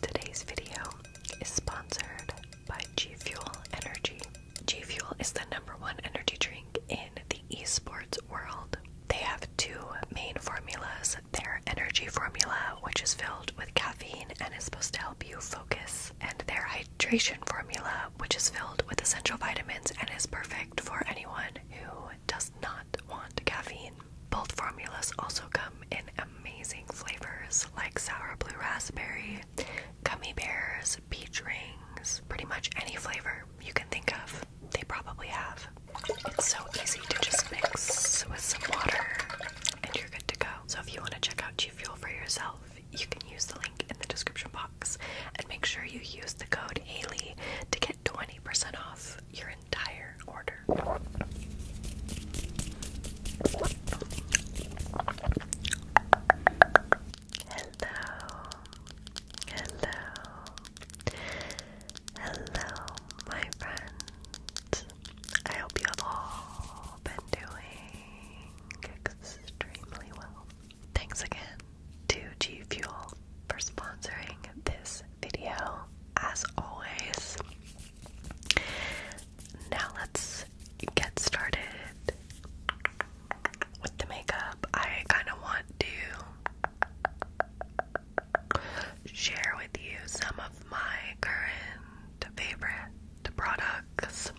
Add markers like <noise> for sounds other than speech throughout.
Today's video is sponsored by G Fuel Energy. G Fuel is the number one energy drink in the esports world. They have two main formulas their energy formula, which is filled with caffeine and is supposed to help you focus, and their hydration formula, which is filled with essential vitamins and is perfect for anyone who does not want caffeine. Both formulas also come in amazing flavors like sour blue raspberry, gummy bears, peach rings, pretty much any flavor you can think of. They probably have. It's so easy to just mix with some water and you're good to go. So if you want to check out G Fuel for yourself, you can use the link in the description box and make sure you use the code Haley to get 20% off your entire Hello, hello, hello, my friends. I hope you've all been doing extremely well. Thanks again to G Fuel for sponsoring this video. As always, now let's get started with the makeup. I kind of want to share with you some of my current favorite products,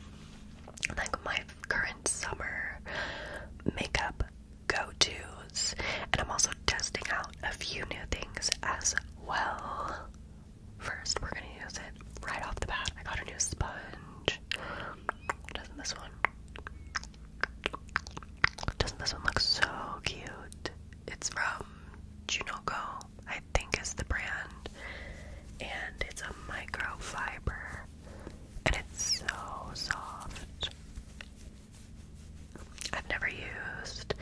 like my current summer makeup go-tos, and I'm also testing out a few new things as well. First, we're gonna use it right off the bat. I got a new sponge. Doesn't this one? Doesn't this one look so cute? It's from Junoko, I think is the brand. And it's a microfiber. And it's so soft. I've never used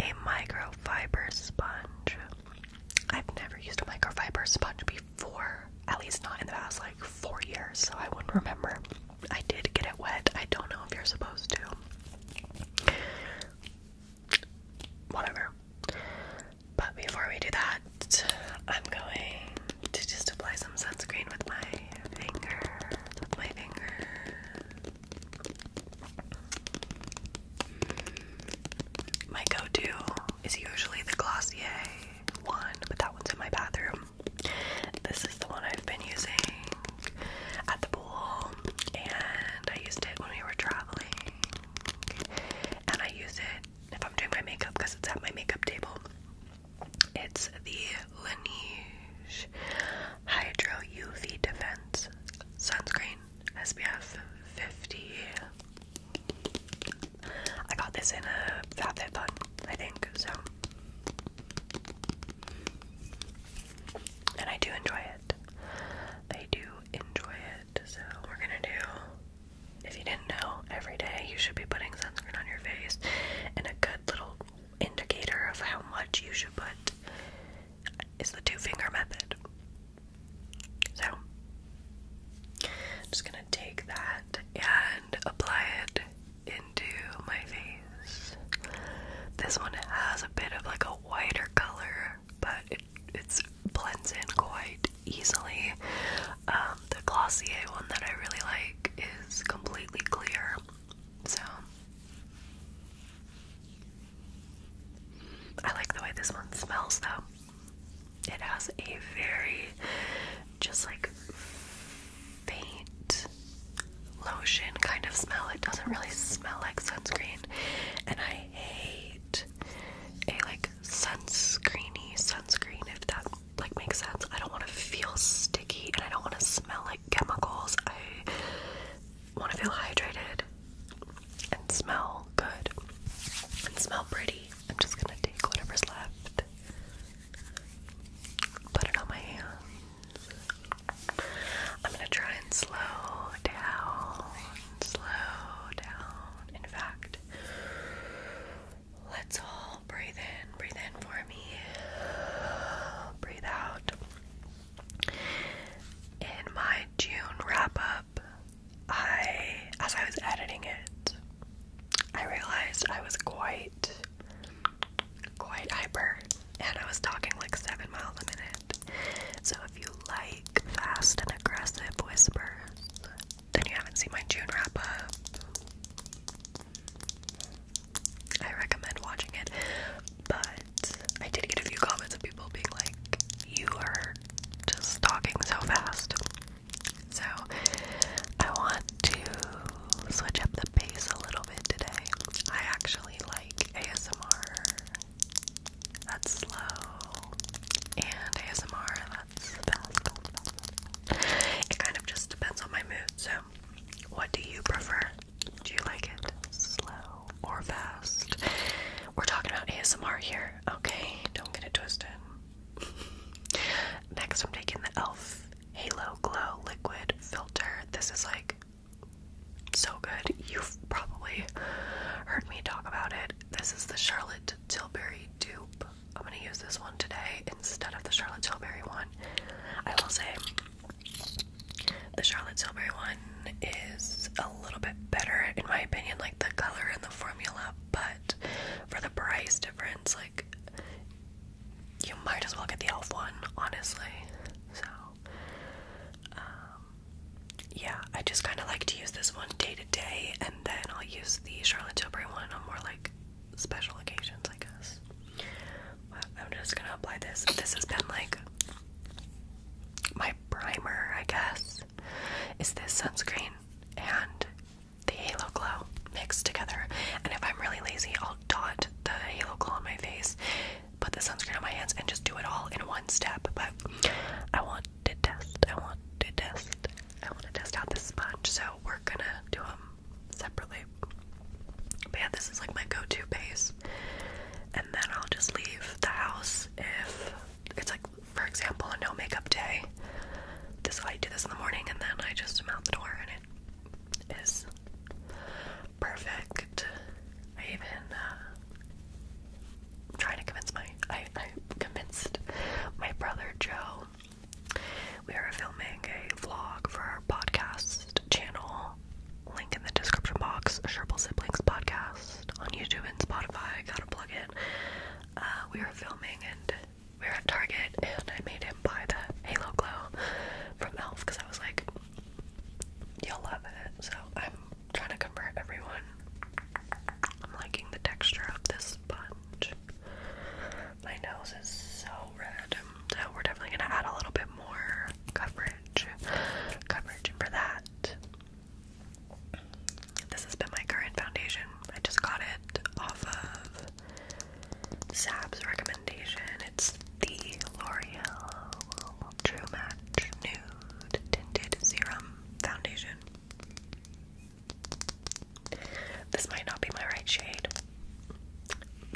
a microfiber sponge I've never used a microfiber sponge before, at least not in the past like four years, so I wouldn't remember. I did get it wet. I don't know if you're supposed to. Whatever. But before we do that, I'm going to just apply some sunscreen with my finger. With my finger. My go to is usually the Glossier one, but that one's in my bathroom. This is the one I've been using at the pool, and I used it when we were traveling. And I use it if I'm doing my makeup because it's at my makeup table. It's the Laneige Hydro UV Defense Sunscreen. SPF 50. I got this in a FabFitFun, I think, so. And I do enjoy it. I do enjoy it. So we're gonna do, if you didn't know, every day you should be putting sunscreen on your face and a good little indicator of how much you should put is the two finger method. So, I'm just gonna take that and apply it into my face. This one has a bit of like a whiter color, but it it's blends in quite easily. Um, the Glossier one that I really like is completely clear. So I like the way this one smells though. It has a very just like faint lotion kind of smell. It doesn't really smell like sunscreen. And I hate a like sunscreeny sunscreen if that like makes sense. I don't want to feel sticky and I don't want to smell like chemicals. I want to feel hydrated and smell good and smell pretty, I'm just gonna take whatever's left, put it on my hands. I'm gonna try and slow down, slow down. In fact, let's all breathe in, breathe in for me, breathe out. In my June wrap up, I, as I was editing it, I realized I was quite, quite hyper, and I was talking like seven miles a minute. So if you like fast and aggressive whispers, then you haven't seen my June wrap up. I recommend watching it, but I did get a few comments of people being like, you are just talking so fast. So, I want to switch up the pace a little bit today. I actually like ASMR that's slow and ASMR that's fast. It kind of just depends on my mood. So, what do you prefer? Do you like it slow or fast. We're talking about ASMR here, okay? Don't get it twisted. Next, I'm taking the e.l.f. Halo Glow Liquid Filter. This is like so good. You've probably heard me talk about it. This is the Charlotte Tilbury dupe. I'm gonna use this one today instead of the Charlotte Tilbury one. I will say the Charlotte Tilbury one is a little bit better in my opinion, like the color and the formula, but for the price difference, like you might as well get the elf one, honestly. So um, yeah, I just kinda like to use this one day to day and then I'll use the Charlotte Tilbury one on more like special occasions I guess. I'm just gonna apply this. This has been like my primer, I guess, is this sunscreen and the Halo Glow mixed together. And if I'm really lazy, I'll dot the Halo Glow on my face, put the sunscreen on my hands, and just do it all in one step. But I want to test, I want to test, I want to test out this sponge, so we're gonna do them separately. But yeah, this is like my go to base. And then I'll just leave the house if it's like for example a no makeup day. This I do this in the morning and then I just am out the door and it is perfect. I even uh, I'm trying to convince my I, I convinced my brother Joe. We are filming a vlog for our podcast channel. Link in the description box, Sherple Siblings Podcast on YouTube and Spotify. got a plug in. Uh, we were filming and we were at Target, and I made him buy the Halo Glow from Elf because I was like, "You'll love it." So I'm trying to convert everyone. I'm liking the texture of this sponge. My nose is so red, so we're definitely gonna add a little bit more coverage, coverage, for that, this has been my current foundation. I just got it off of Sab's recommendation. It's the L'Oreal True Match Nude Tinted Serum Foundation. This might not be my right shade.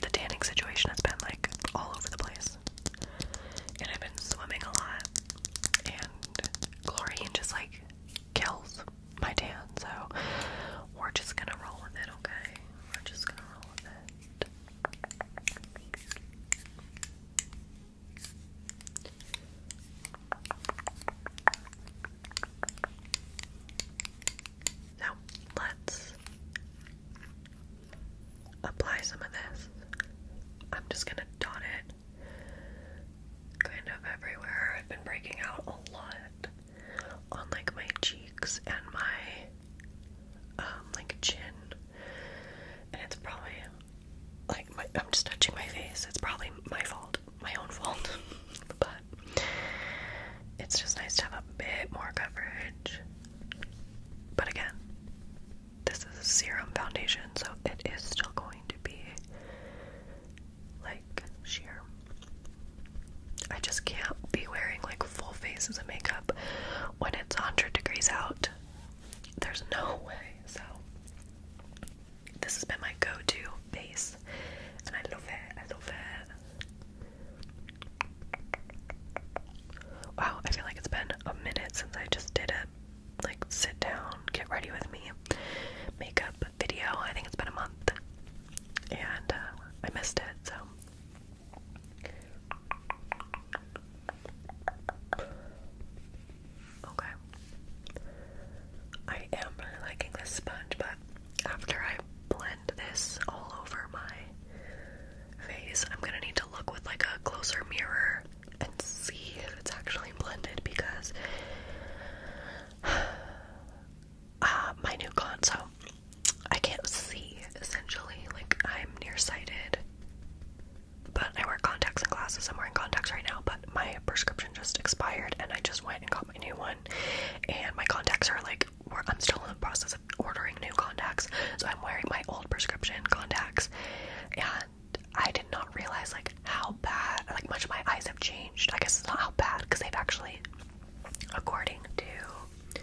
The tanning situation has been like all over the place. And I've been swimming a lot, and chlorine just like kills my tan, so we're just gonna roll with it, okay? We're just gonna roll with it. Now, let's apply some of this. I'm just going to dot it kind of everywhere. I've been breaking out a lot on like my cheeks and my um, like chin. And it's probably like my I'm just touching my face. It's probably my fault, my own fault. <laughs> but it's just nice to have a bit more coverage. But again, this is a serum foundation, so it is still going to be like sheer. I just can't be wearing like full faces of makeup when it's 100 degrees out. There's no way. So, this has been my go to base, and I love it. I love it. Wow, I feel like it's been a minute since I just did it like sit down, get ready with me makeup video. I think it's been a month and uh, I missed it, so Okay. I am really liking this sponge, but after I blend this all over my face, I'm gonna need to look with like a closer mirror and see if it's actually blended because <sighs> uh, my new con, so I can't see essentially. Like, I'm nearsighted, but I wear contacts and glasses. I'm wearing contacts right now, but my prescription just expired and I just went and got my new one. And my contacts are like, I'm still in the process of ordering new contacts, so I'm wearing my old prescription contacts. And I did not realize like how bad, like much of my eyes have changed. I guess it's not how bad because they've actually, according to,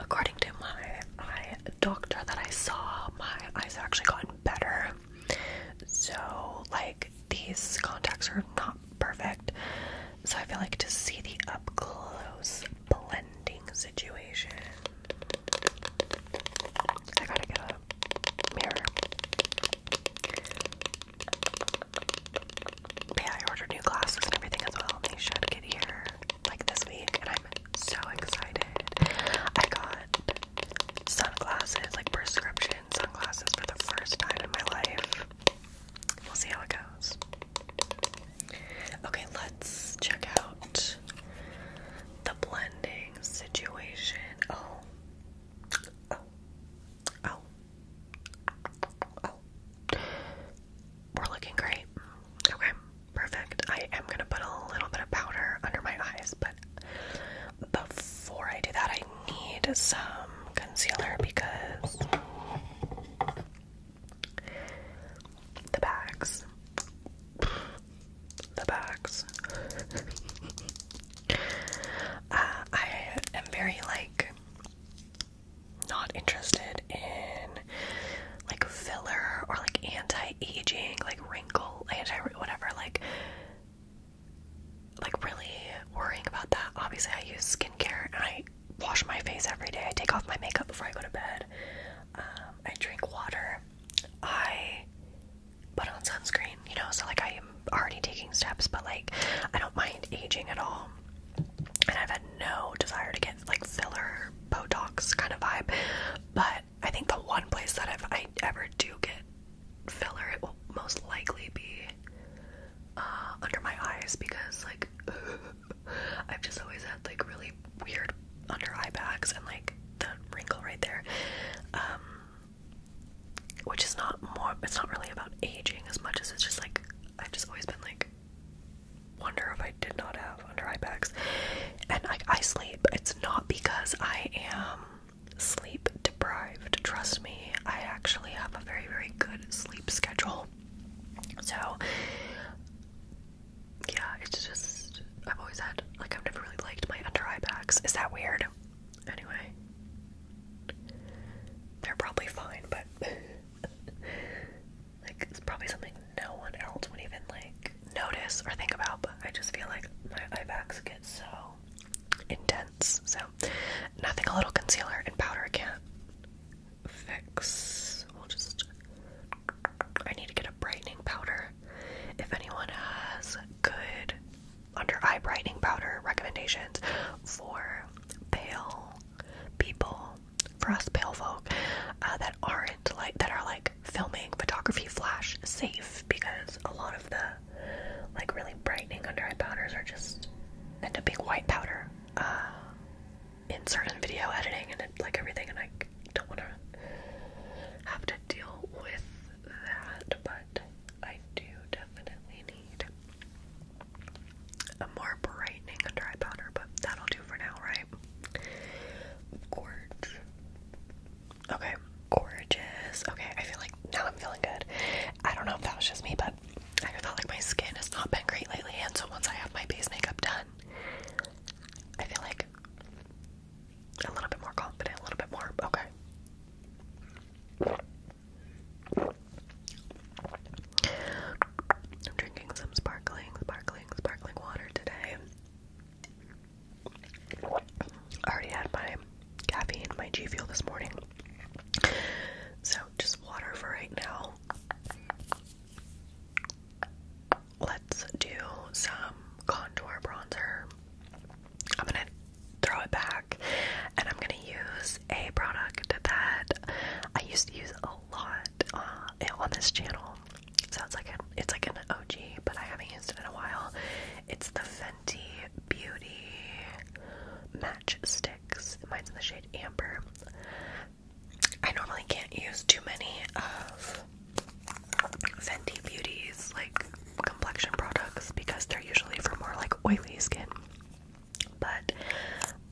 according to my eye doctor that I saw, my eyes have actually gotten better. So like these contacts are not perfect. So I feel like to see the up close blending situation, I gotta get a yeah, I ordered new glasses and everything as well, and they should get here like this week, and I'm so excited. I got sunglasses, like prescription sunglasses, for the first time in my life. We'll see how it goes. Okay, let's check out the blending situation. Oh. Oh. Oh. Oh. We're looking great. Okay. Perfect. I am going to put a little bit of powder under my eyes, but before I do that, I need some concealer because the bags the bags. <laughs> Uh, I am very like not interested in like filler or like anti-aging, like wrinkle, anti whatever, like like really worrying about that. Obviously, I use skincare and I wash my face every day. I take off my makeup before I go to bed. Um, I drink water. I put on sunscreen, you know, so like I am already taking steps, but like I don't mind aging at all. And I've had no desire to get like filler Botox kind of vibe. But I think the one place that if I ever do get filler, it will most likely be uh, under my eyes because like <laughs> I've just always had like really weird under eye bags and like the wrinkle right there. Um, which is not more, it's not really about aging as much as it's just like, I've just always been like, wonder if I did not have under eye bags. And I sleep. It's not because I am sleep deprived. Trust me, I actually have a very, very good sleep schedule. So, yeah, it's just I've always had like I've never really liked my under eye bags. Is that weird? Anyway. They're probably fine, but <laughs> like it's probably something no one else would even like notice or think about, but I just feel like my eye bags get so intense. So nothing a little concealer and powder can't fix. We'll just I need to get a brightening powder. If anyone has good under eye brightening powder recommendations for pale people, for us pale folk, uh, that aren't like that are like filming photography flash safe because a lot of the like really brightening under eye powders are just end up being white powder uh, in certain video editing and like everything and I don't want to have to deal with that, but I do definitely need a more brightening dry powder, but that'll do for now, right? Gorge. Okay, gorgeous. Okay, I feel like now I'm feeling good. I don't know if that was just me, but I feel like my skin has not been great lately, and so once I have my base makeup done, I feel like a little bit more confident, a little bit more. Okay. drinking some sparkling, sparkling, sparkling water today. already had my caffeine, my G Fuel this morning. So just water for right now. Let's do some contour bronzer. I'm gonna throw it back and I'm gonna use a product that I used to use a lot uh, on this channel. So it's like, it's like an OG, but I haven't used it in a while. It's the Fenty Beauty Match Sticks. Mine's in the shade Amber. I normally can't use too many of Fenty Beauties like complexion products because they're usually for more like oily skin. But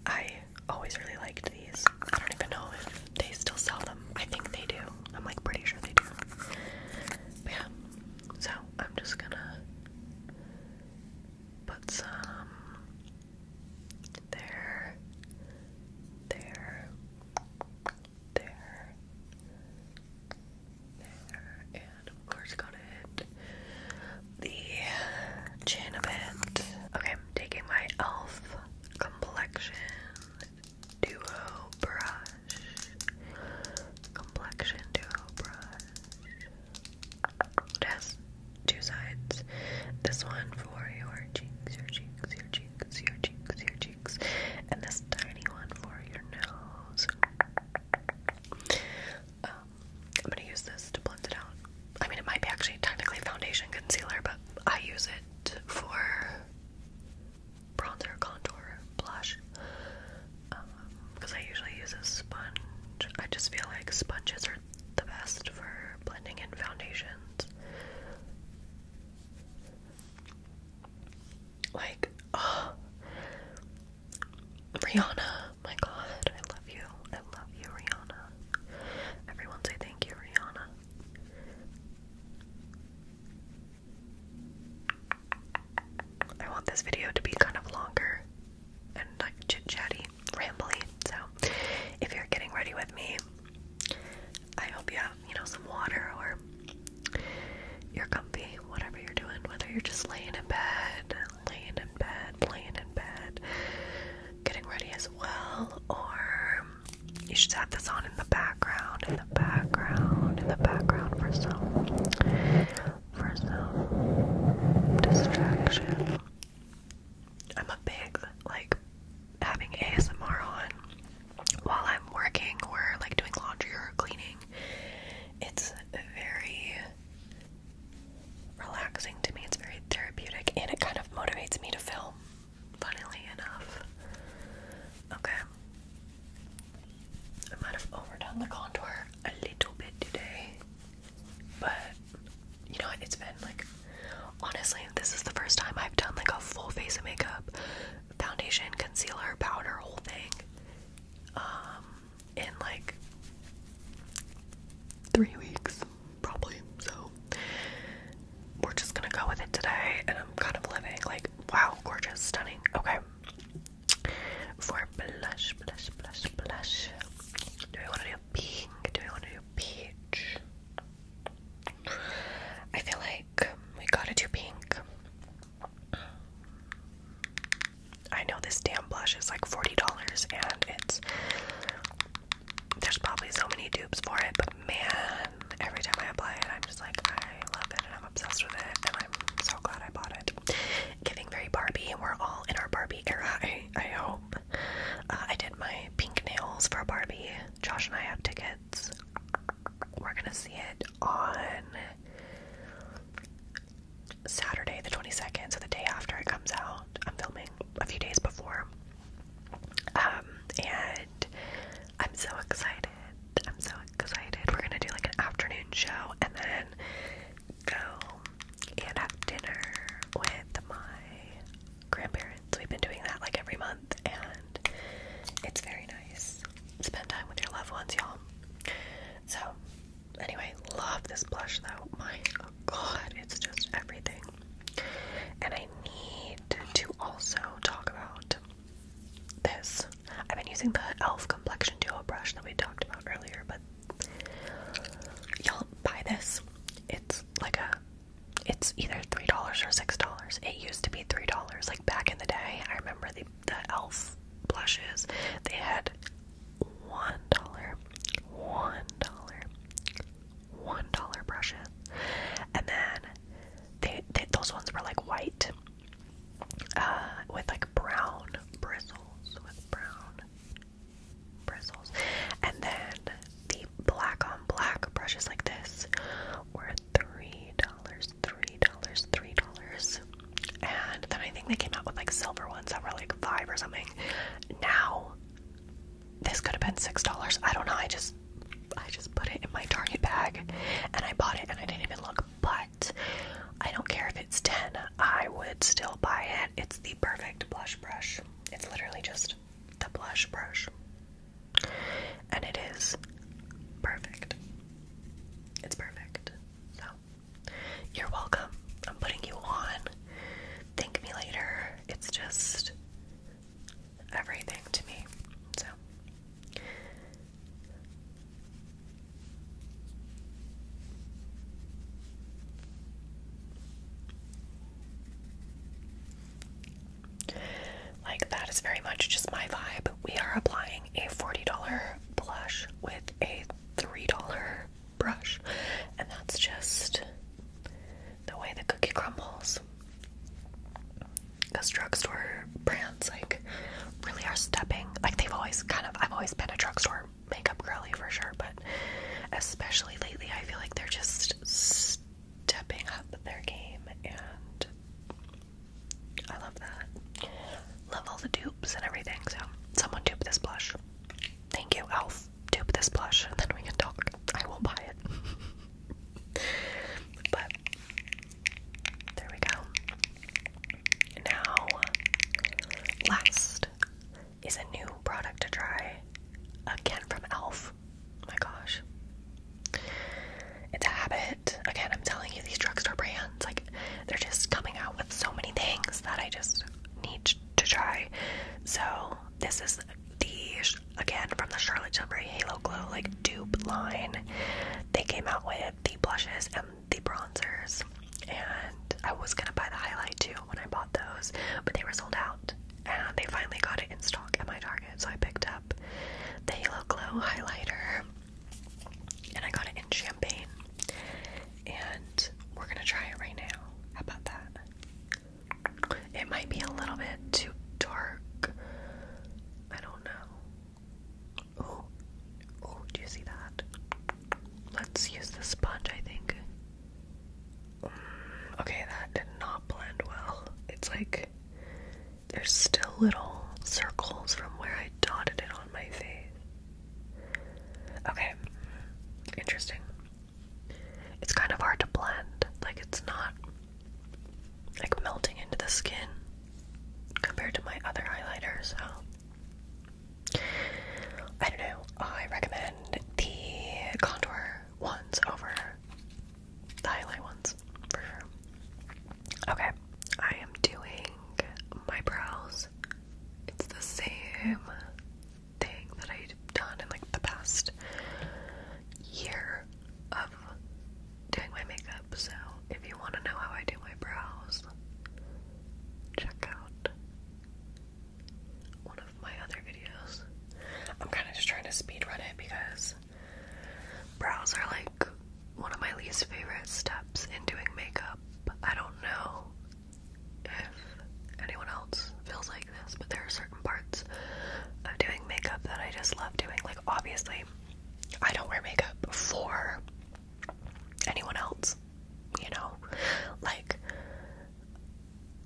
I always really liked these. I don't even know if they still sell them. I think they do. I'm like pretty sure they do. But yeah. So I'm just gonna put some there, there, there, there, and of course gotta the chin Okay, I'm taking my e.l.f. complexion duo brush. Complexion duo brush. It has two sides. This one for your cheeks, your cheeks, your cheeks, your cheeks, your cheeks and this tiny one for your nose. Um, I'm gonna use this to blend it out. I mean, it might be actually technically foundation concealer, but I use it for bronzer, contour, blush. Because um, I usually use a sponge. I just feel like sponges are the best for blending in foundations. Like, oh, Rihanna, my god, I love you. I love you, Rihanna. Everyone say thank you, Rihanna. I want this video to be kind of longer and like chit chatty, rambly. So, if you're getting ready with me, I hope you have, you know, some water or you're comfy, whatever you're doing, whether you're just laying in bed, laying in bed, laying in bed, getting ready as well, or you should have this on in the background, in the background, in the background for some, for some distraction. I'm a big, like, having ASMR on while I'm working or like doing laundry or cleaning. It's very relaxing to me, it's very therapeutic, and it kind of motivates me to film, funnily enough. Okay. I might have overdone the contour a little bit today, but you know, it's been like honestly, this is the first time I've done like a full face of makeup foundation, concealer, powder, whole thing, um, in like three weeks, probably. So we're just gonna go with it today, and I'm kind of living like wow, gorgeous, stunning. Okay, for blush, blush, blush, blush. Do we want to do pink? Do we want to do peach? I feel like we gotta do pink. I know this damn blush is like $40 and it's there's probably so many dupes for it, but man, every time I apply it, I'm just like, I love it and I'm obsessed with it and I'm so glad I bought it. Giving very Barbie, we're all in our Barbie era, <laughs> I, I hope. Uh, I did my pink nails for Barbie. Josh and I have tickets. We're gonna see it on Saturday, the 22nd, so the day after it comes out. I'm filming a few days before. Um, and I'm so excited. I'm so excited. We're gonna do like an afternoon show and then go and have dinner with my grandparents. We've been doing that like every month, and it's very nice. Spend time with your loved ones, y'all. So, anyway, love this blush though. My oh god, it's just everything. And I need to also talk about this. I've been using the e.l.f. complexion duo brush that we talked about earlier, but y'all buy this. It's like a it's either $3 or $6. It used to be $3. Like back in the day, I remember the the elf blushes they had one dollar one dollar one dollar brushes and then they, those ones were like white uh with like brown bristles with brown bristles and then the black on black brushes like this were three dollars three dollars, three dollars, and then I think they came out with like silver ones that were like five or something. Now, this could have been six dollars. I don't know. I just, I just put it in my Target bag, and I bought it, and I didn't even look. But I don't care if it's ten. I would still buy it. It's the perfect blush brush. It's literally just the blush brush, and it is perfect. It's perfect. So, you're welcome. I'm putting you on. Thank me later. It's just everything to me. So, like that is very much just my vibe. We are applying a $40 blush with a $3 brush, and that's just the way the cookie crumbles. Because drugstore brands, like, really are stepping. Like, they've always kind of, I've always been a drugstore makeup girly for sure, but especially lately, I feel like they're just stepping up their game and I love that. Love all the dupes and everything. So, someone dupe this blush. Thank you, Elf. Dupe this blush, and then we can talk. I will buy it. <laughs> but there we go. Now, last is a new product to try. Again from Elf. Oh my gosh. It's a habit. Again, I'm telling you, these drugstore brands, like, they're just coming out with so many things that I just need to try. So, this is the, again, from the Charlotte Tilbury Halo Glow, like, dupe line. They came out with the blushes and the bronzers. And I was gonna buy the highlight too when I bought those, but they were sold out. And they finally got it in stock at my Target, so I picked up the Halo Glow highlighter and I got it in champagne. And we're gonna try it right now. How about that? It might be a little bit too dark. I don't know. Oh, oh, do you see that? Let's use the sponge, I think. Mm, okay, that did not blend well. It's like there's still little circles from where I dotted it on my face. Okay, interesting. It's kind of hard to blend, like, it's not like melting into the skin compared to my other highlighter, so I don't know. I recommend the contour ones over the highlight ones for sure. Okay. I am doing my brows. It's the same thing that I've done in like the past year of doing my makeup. So if you want to know how I do my brows, check out one of my other videos. I'm kind of just trying to speed run it because brows are like one of my least favorite steps in doing makeup. I don't know if anyone else feels like this, but there are certain parts of doing makeup that I just love doing. Like, obviously, I don't wear makeup for anyone else, you know? Like,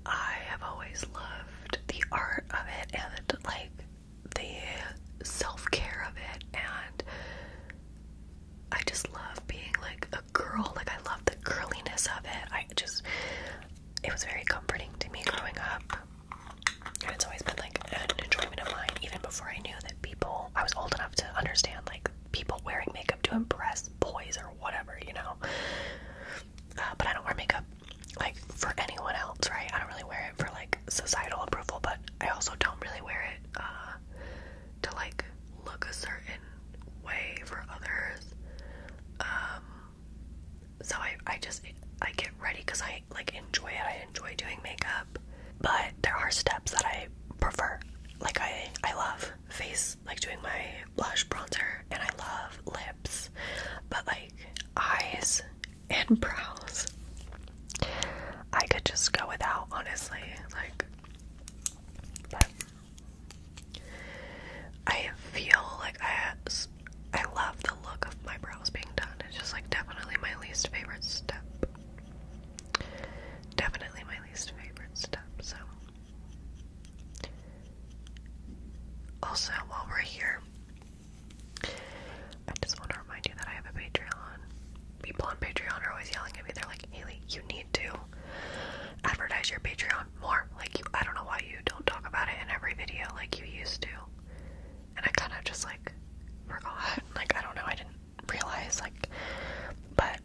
I have always loved the art of it and, like, the self care of it and I just love being like a girl. Like I love the girliness of it. I just it was very comforting to me growing up. And it's always been like an enjoyment of mine even before I knew that people I was old enough to understand like people wearing makeup to impress boys or whatever, you know. Uh, but I don't wear makeup like for anyone else, right? I don't really wear it for like societal approval, but I also don't really wear it uh, to like look a certain way for others. Um, so I, I just I get ready because I like enjoy it. I enjoy doing makeup, but there are steps that I prefer. Like I I love face like doing my blush bronzer and I love lips, but like eyes and brows I could just go without, honestly. Like, but I feel like I I love the look of my brows being done. It's just like definitely my least favorite step. Definitely my least favorite step. So, also while we're here, I just want to remind you that I have a Patreon people on Patreon are always yelling at me. They're like, Haley, you need to advertise your Patreon more. Like, you, I don't know why you don't talk about it in every video like you used to. And I kind of just like forgot. <laughs> Like, I don't know. I didn't realize. Like, but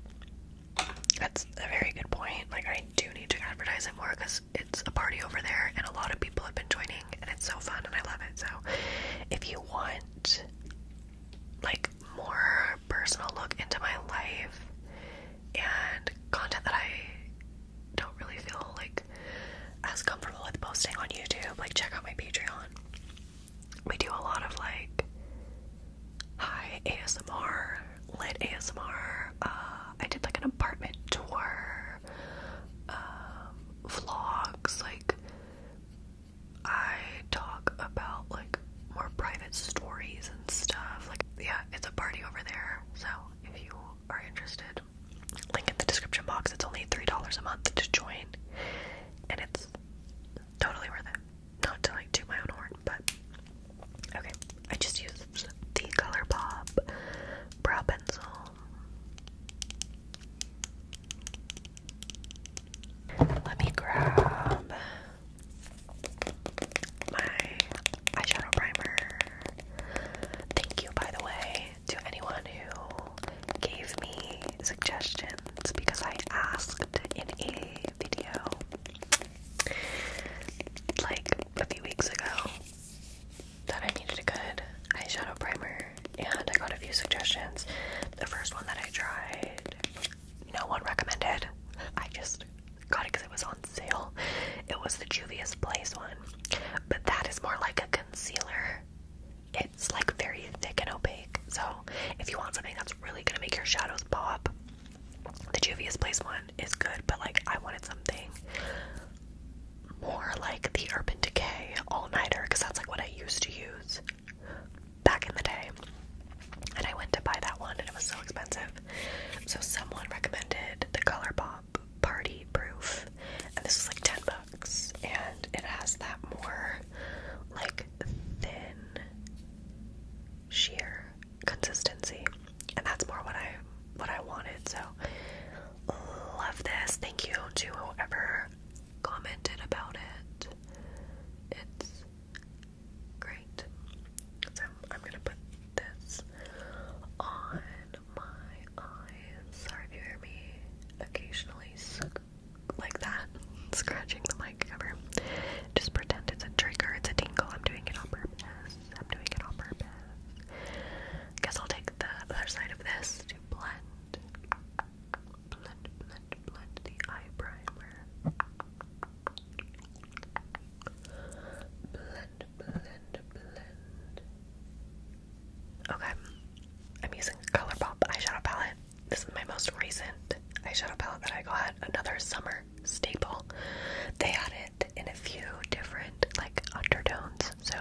that's a very good point. Like, I do need to advertise it more because it's a party over there and a lot of people have been joining and it's so fun and I love it. So, if you want like more personal look into my life and content that I don't really feel like as comfortable with posting on YouTube. Like check out my Patreon. We do a lot of like high ASMR, lit ASMR. Uh, I did like an apartment tour, um, vlogs, like I talk about like more private stories and stuff. Like, yeah, it's a party over there. So if you are interested, link in the description box. It's only three dollars a month to join, and it's totally worth it. Not to like do my own horn, but okay. I just used the Color brow pencil. Let me grab my eyeshadow primer. Thank you, by the way, to anyone who gave me suggestions because I asked in a video like a few weeks ago that I needed a good eyeshadow primer and I got a few suggestions. The first one that I tried, no one recommended. I just got it because it was on sale. It was the Juvia's Place one, but that is more like a concealer. It's like very thick and opaque. So if you want something that's really gonna make your shadows pop, the Juvia's Place one is good. But like I wanted something more like the Urban Decay All Nighter because that's like what I used to use back in the day. And I went to buy that one and it was so expensive. So someone recommended the Color Pop Party Proof. And this was like 10 bucks. And it has that more like thin sheer consistency. And that's more what I what I wanted. So love this. Thank you to whoever commented about it. It's great. So I'm gonna put this on my eyes. Sorry if you hear me occasionally like that, <laughs> scratching the mic cover. Just pretend it's a trigger, it's a tingle. I'm doing it on purpose. I'm doing it on purpose. guess I'll take the other side of this to blend blend, blend, blend the eye primer. Blend, blend, blend. Okay, I'm using Colourpop eyeshadow palette. This is my most recent eyeshadow palette that I got. Another summer staple. They had it in a few different like undertones. So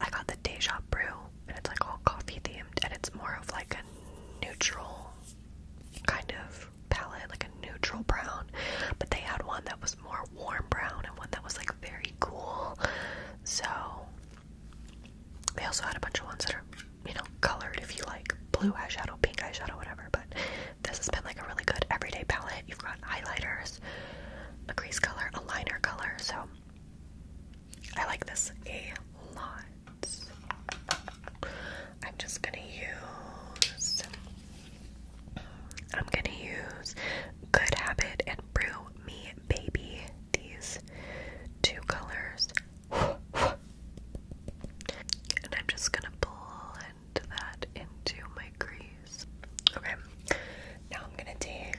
I got the Deja Brew and it's like all coffee themed, and it's more of like a neutral kind of palette, like a neutral brown. But they had one that was more warm brown and one that was like very cool. So they also had a bunch of ones that are, you know, colored if you like blue eyeshadow, pink eyeshadow, whatever. But this has been like a really good everyday palette. You've got highlighters, a crease color, a liner color, so I like this a lot. I'm just gonna use. I'm gonna use Good Habit and Brew Me Baby. These two colors. And I'm just gonna blend that into my crease. Okay, now I'm gonna take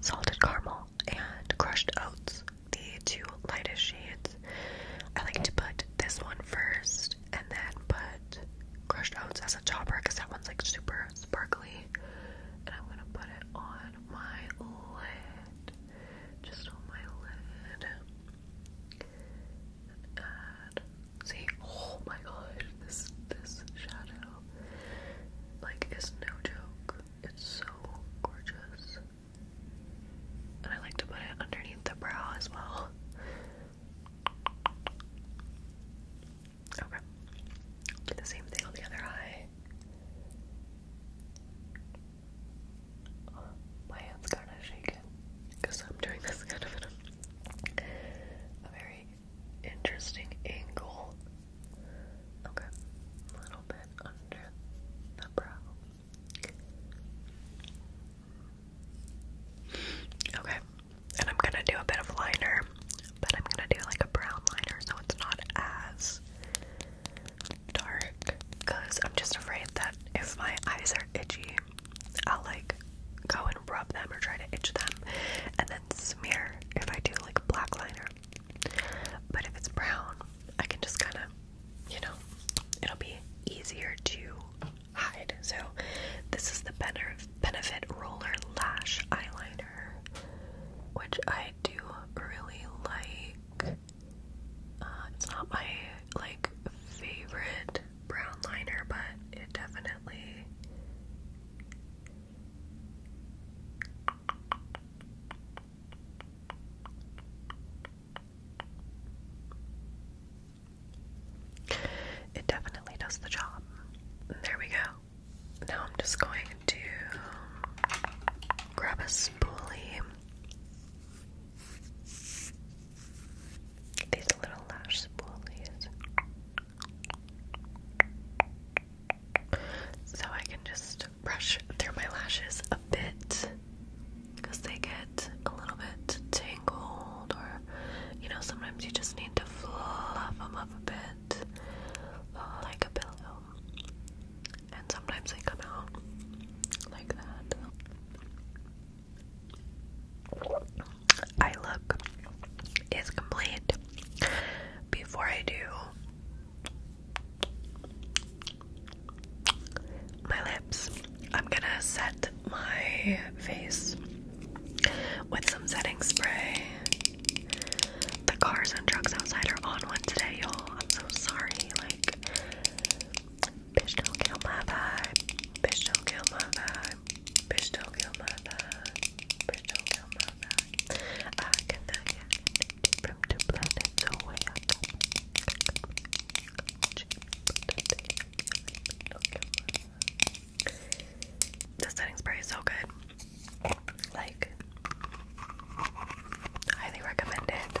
salted caramel and crushed oats the two lightest shades. I like to put this one first and then put Crushed Oats as a topper because that one's like super sparkly. And I'm gonna put it on my lid. Just on my lid. And add. See, oh my gosh, this this shadow like is no joke. It's so gorgeous. And I like to put it underneath the brow as well. Okay. Do the same thing on the other eye. my hand's kind of shaking because I'm doing this kind of a very interesting angle. Okay, a little bit under the brow. Okay, and I'm gonna do a bit of liner, but I'm gonna do like a brown liner so it's not as dark because I'm just afraid that if my eyes are itchy, I'll like go and rub them or try to itch them and then smear if I do like black liner. But if it's brown, I can just kind of, you know, it'll be easier to hide. So this is the Benefit Roller Lash Eyeliner, which I do really like. Uh, it's not my like favorite brown liner, but it definitely it definitely does the job. There we go. Now I'm just going to grab a spoolie. These little lash spoolies. So I can just brush through my lashes a bit because they get a little bit tangled, or you know, sometimes you just need to fluff them up a bit like a pillow, and sometimes they come out like that. Eye look is complete. Before I do my lips. I'm gonna set my face with some setting spray. The cars and trucks outside are on one today, y'all. I'm so sorry. Like, bitch, don't kill my vibe. Bitch, don't kill my vibe. Bitch, don't kill my vibe. Bitch, don't kill my vibe. I cannot get from two planets away. The setting spray is so good. Like, highly recommend it.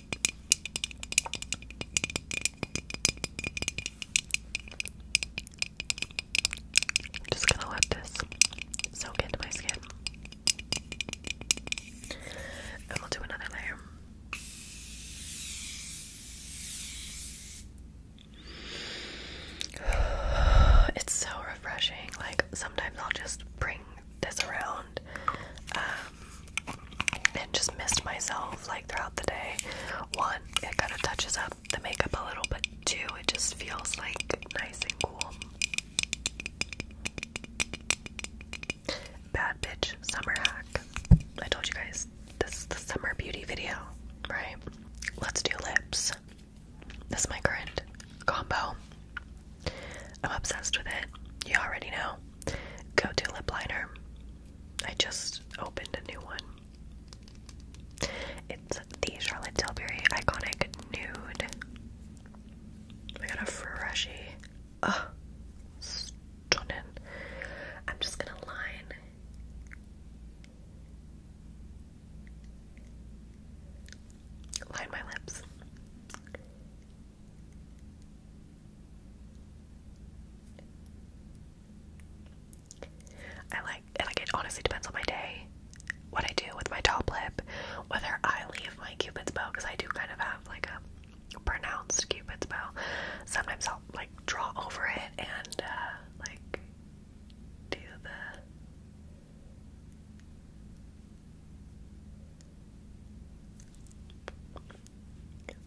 just gonna let this soak into my skin. And we'll do another layer. <sighs> It's so refreshing. Like, sometimes I'll just bring this around um, and just missed myself like throughout the day. One, it kind of touches up the makeup a little, but two, it just feels like nice and cool. Bad bitch summer hack. I told you guys this is the summer beauty video, right? Let's do lips. This is my grind combo. I'm obsessed with it. You already know. Go to lip liner. I just opened a new one. It's the Charlotte Tilbury Iconic Nude. I got a freshy. Oh, stunning. I'm just gonna line. Line my lips. I like, like it honestly depends on my day, what I do with my top lip, whether I leave my cupid's bow, because I do kind of have like a pronounced cupid's bow. Sometimes I'll like draw over it and uh, like do the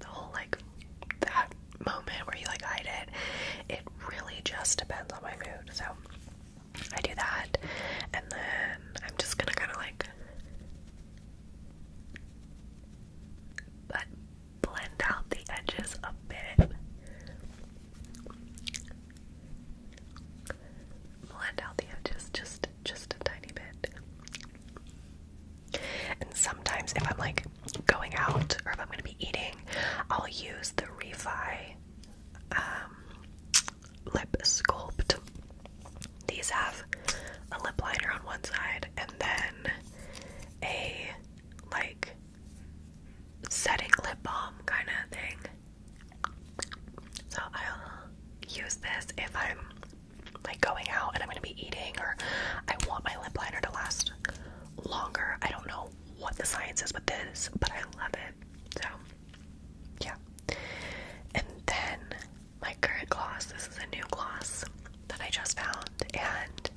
the whole like that moment where you like hide it, it really just depends on my mood. So I do that, and then I'm just gonna kind of like blend out the edges a bit. Blend out the edges just just a tiny bit. And sometimes if I'm like going out or if I'm going to be eating, I'll use the Refi um, lip sculpt. These have a lip liner on one side and then a like setting lip balm kind of thing. So I'll use this if I'm like going out and I'm gonna be eating, or I want my lip liner to last longer. I don't know what the science is with this, but I love it. So, yeah. And then my current gloss this is a new gloss that I just found, and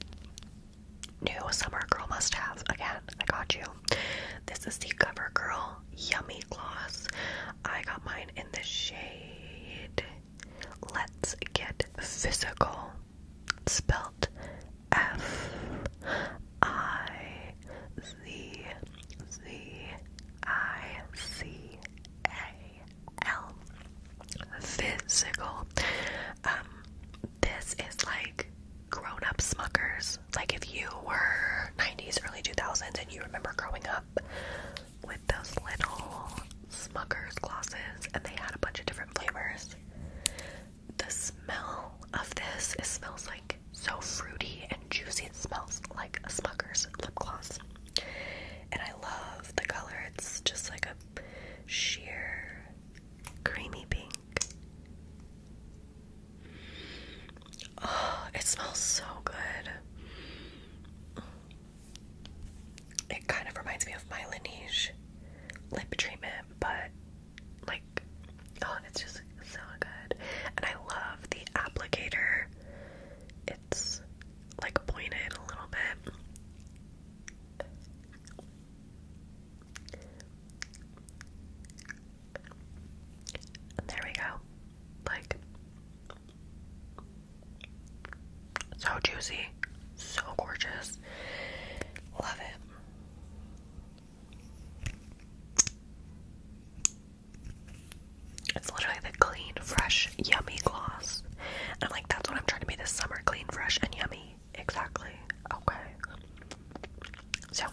new Summer Girl must have. Again, I got you. This is the CoverGirl Yummy Gloss. I got mine in the shade Let's Get Physical, spelt F I Z Z I C A L. Physical. Um, this is like grown up smuckers. Like if you were 90s, early 2000s, and you remember growing up with those little Smucker's glosses, and they had a bunch of different flavors. The smell of this, it smells like so fruity and juicy. It smells like a Smucker's lip gloss. And I love the color. It's just like a sheer creamy pink. Oh, it smells so good. It kind of reminds me of my Laneige lip treatment, but like, oh, it's just so good. And I love the applicator, it's like pointed a little bit. there we go. Like, so juicy, so gorgeous. Love it. It's literally the clean, fresh, yummy gloss. And I'm like, that's what I'm trying to be this summer clean, fresh, and yummy. Exactly. Okay. So,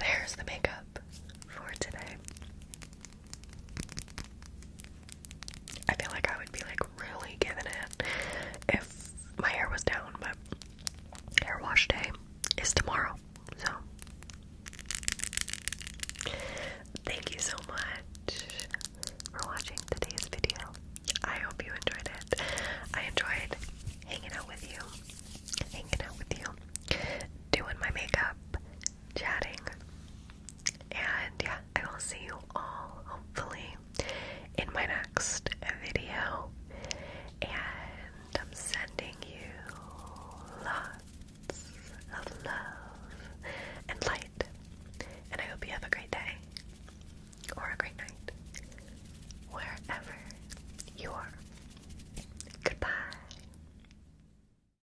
there's the makeup for today. I feel like I would be like really giving it if my hair was down, but hair wash day is tomorrow. So thank you so much for watching today's video. I hope you enjoyed it. I enjoyed hanging out with you, hanging out with you, doing my makeup, chatting. And yeah, I will see you all hopefully in my next video. And I'm sending you lots of love and light. And I hope you have a great day or a great night wherever you are. Goodbye.